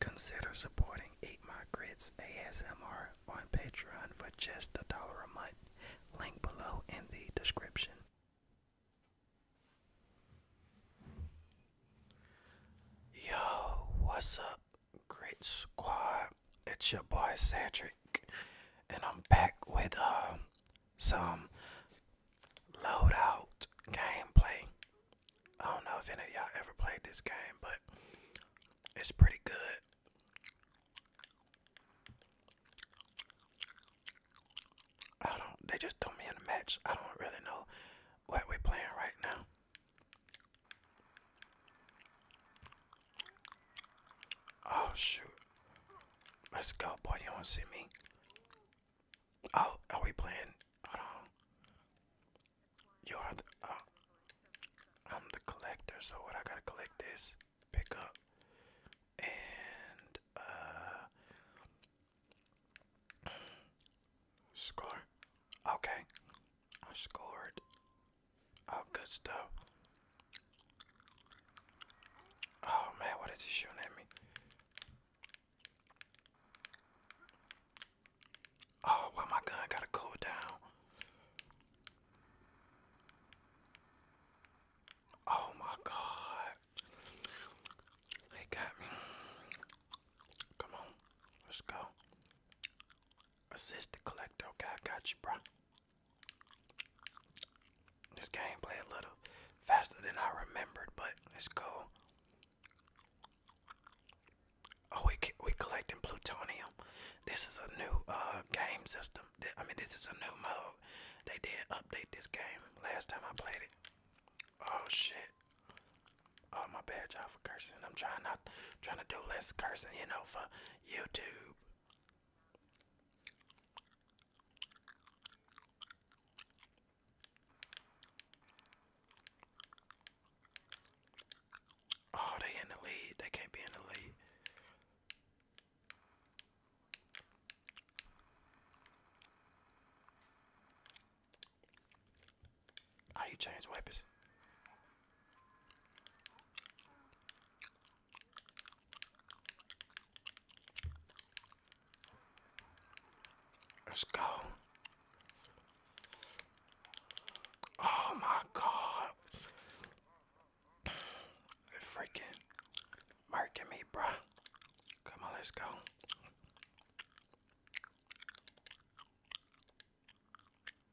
Consider supporting Eight My Grits ASMR on Patreon for just a dollar a month. Link below in the description. Yo, what's up, Great squad, it's your boy Cedric, and I'm back with uh, some loadout gameplay. I don't know if any of y'all ever played this game, but it's pretty good. I don't, they just threw me in a match. I don't really know what we playing right now. Oh shoot. Let's go, boy. You don't see me. Oh, are we playing? Hold on. You are the. Uh, I'm the collector, so what I gotta collect this, pick up, and uh, score. Okay, I scored Oh, good stuff. Oh man, what is he shooting at me? Oh, well, my gun gotta cool down. Oh my god. He got me. Come on, let's go. Assist collector. Okay, got you, bro. This game play a little faster than I remembered, but let's Oh, we we collecting plutonium. This is a new uh game system. I mean, this is a new mode. They did update this game last time I played it. Oh shit! Oh my bad, y'all for cursing. I'm trying not trying to do less cursing, you know, for YouTube. Oh, they in the lead. They can't be in the lead. How ah, do you change wipers? Let's go. Oh my god. They're freaking marking me, bruh. Come on, let's go.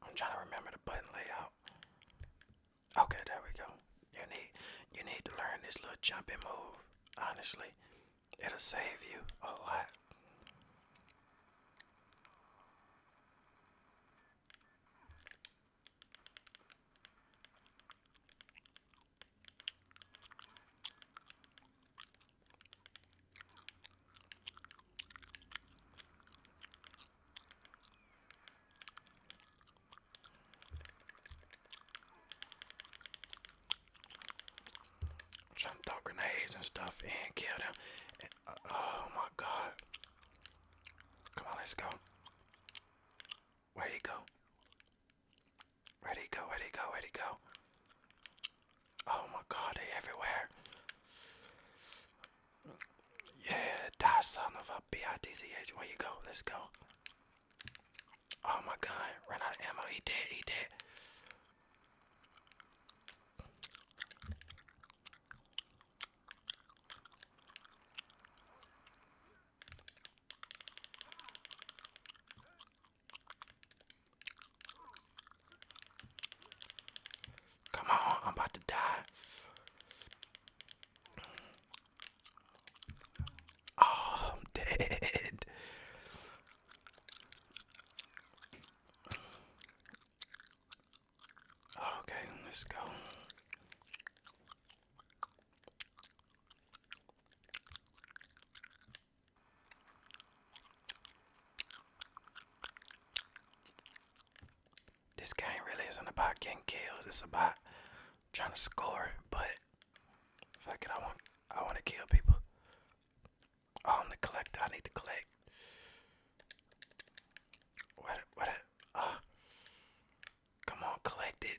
I'm trying to remember the button layout. Okay, there we go. You need you need to learn this little jumping move. Honestly, it'll save you a lot. Trying throw grenades and stuff and kill them. Uh, oh my god. Come on, let's go. Where'd he go? Where'd he go? Where'd he go? Where'd he go? Oh my god, they are everywhere. Yeah, die son of a a B-I-T-C-H. Where you go? Let's go. Oh my god, ran out of ammo. He did, he did. Come on, I'm about to die. Oh, I'm dead. Okay, let's go. This game really isn't about getting killed. It's about trying to score. But fuck it, I want I want to kill people. Oh, I'm the collector. I need to collect. What? What? Uh, come on, collect it.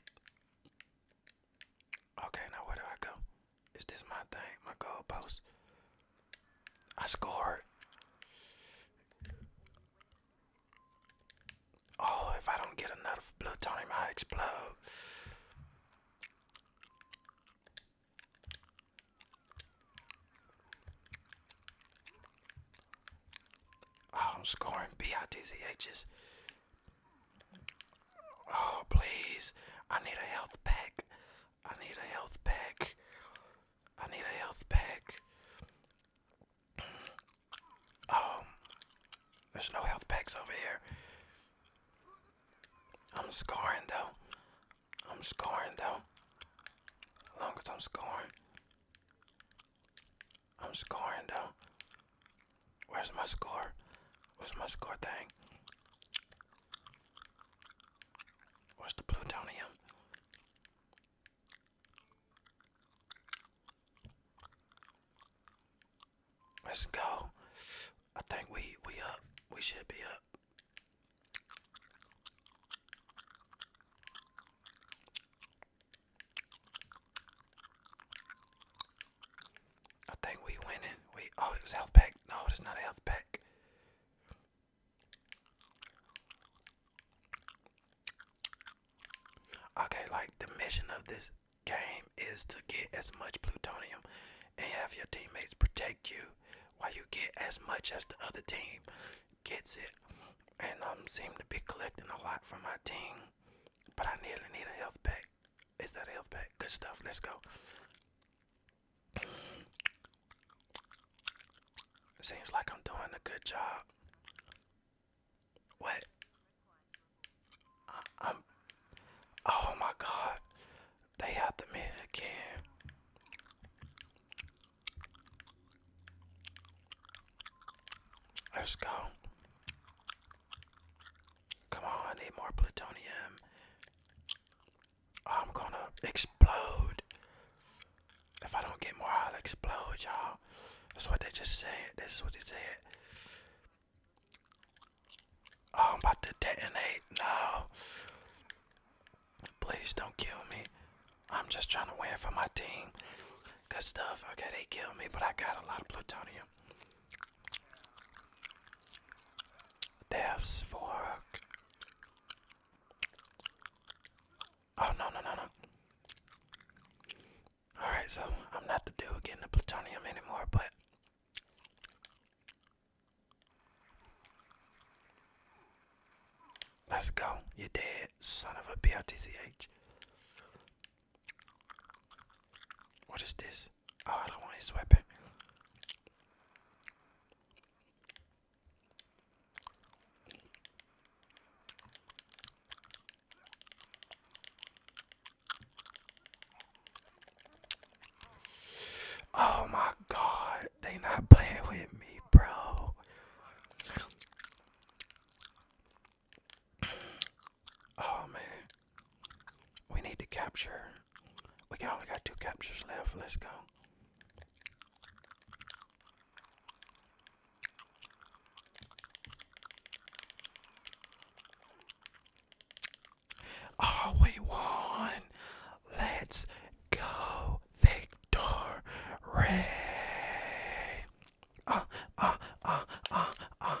Okay, now where do I go? Is this my thing? My goalpost? I scored. Oh, if I don't get another plutonium, I explode. Oh, I'm scoring BITZHs. Oh, please. I need a health pack. I need a health pack. I need a health pack. Um, there's no health packs over here. I'm scoring though. I'm scoring though. As long as I'm scoring. I'm scoring though. Where's my score? What's my score thing? Where's the plutonium? Let's go. I think we we up. We should be up. I think we winning. We oh it was health pack. No, it's not a health pack. Okay, like the mission of this game is to get as much plutonium and have your teammates protect you while you get as much as the other team gets it. And I'm um, seem to be collecting a lot from my team, but I nearly need a health pack. Is that health pack? Good stuff. Let's go. Seems like I'm doing a good job. What? I, am Oh my God! They have the man again. Let's go. Come on, need more plutonium. I'm gonna explode. If I don't get more, I'll explode, y'all. That's what they just said. This is what they said. Oh, I'm about to detonate. No. Please don't kill me. I'm just trying to win for my team. Good stuff. Okay, they killed me, but I got a lot of plutonium. Death's fork. Oh no no no no. Alright, so I'm not the dude getting the plutonium anymore, but let's go. You dead, son of a BLTCH. What is this? Oh, I don't want his weapon. Oh my god, they not playing with me, bro. Oh man, we need to capture. We only got two captures left. Let's go. Oh, we won! Let's go, Victor Ah, uh, ah, uh, ah, uh, ah, ah,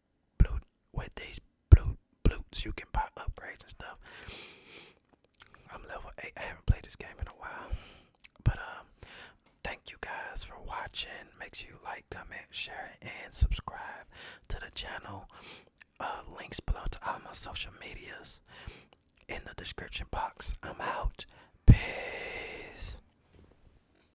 blue with these blue blutes you can buy upgrades and stuff. I'm level eight. I haven't played this game in a while. But um thank you guys for watching. Make sure you like, comment, share, and subscribe to the channel. Uh, links below to all my social medias in the description box. I'm out. Peace.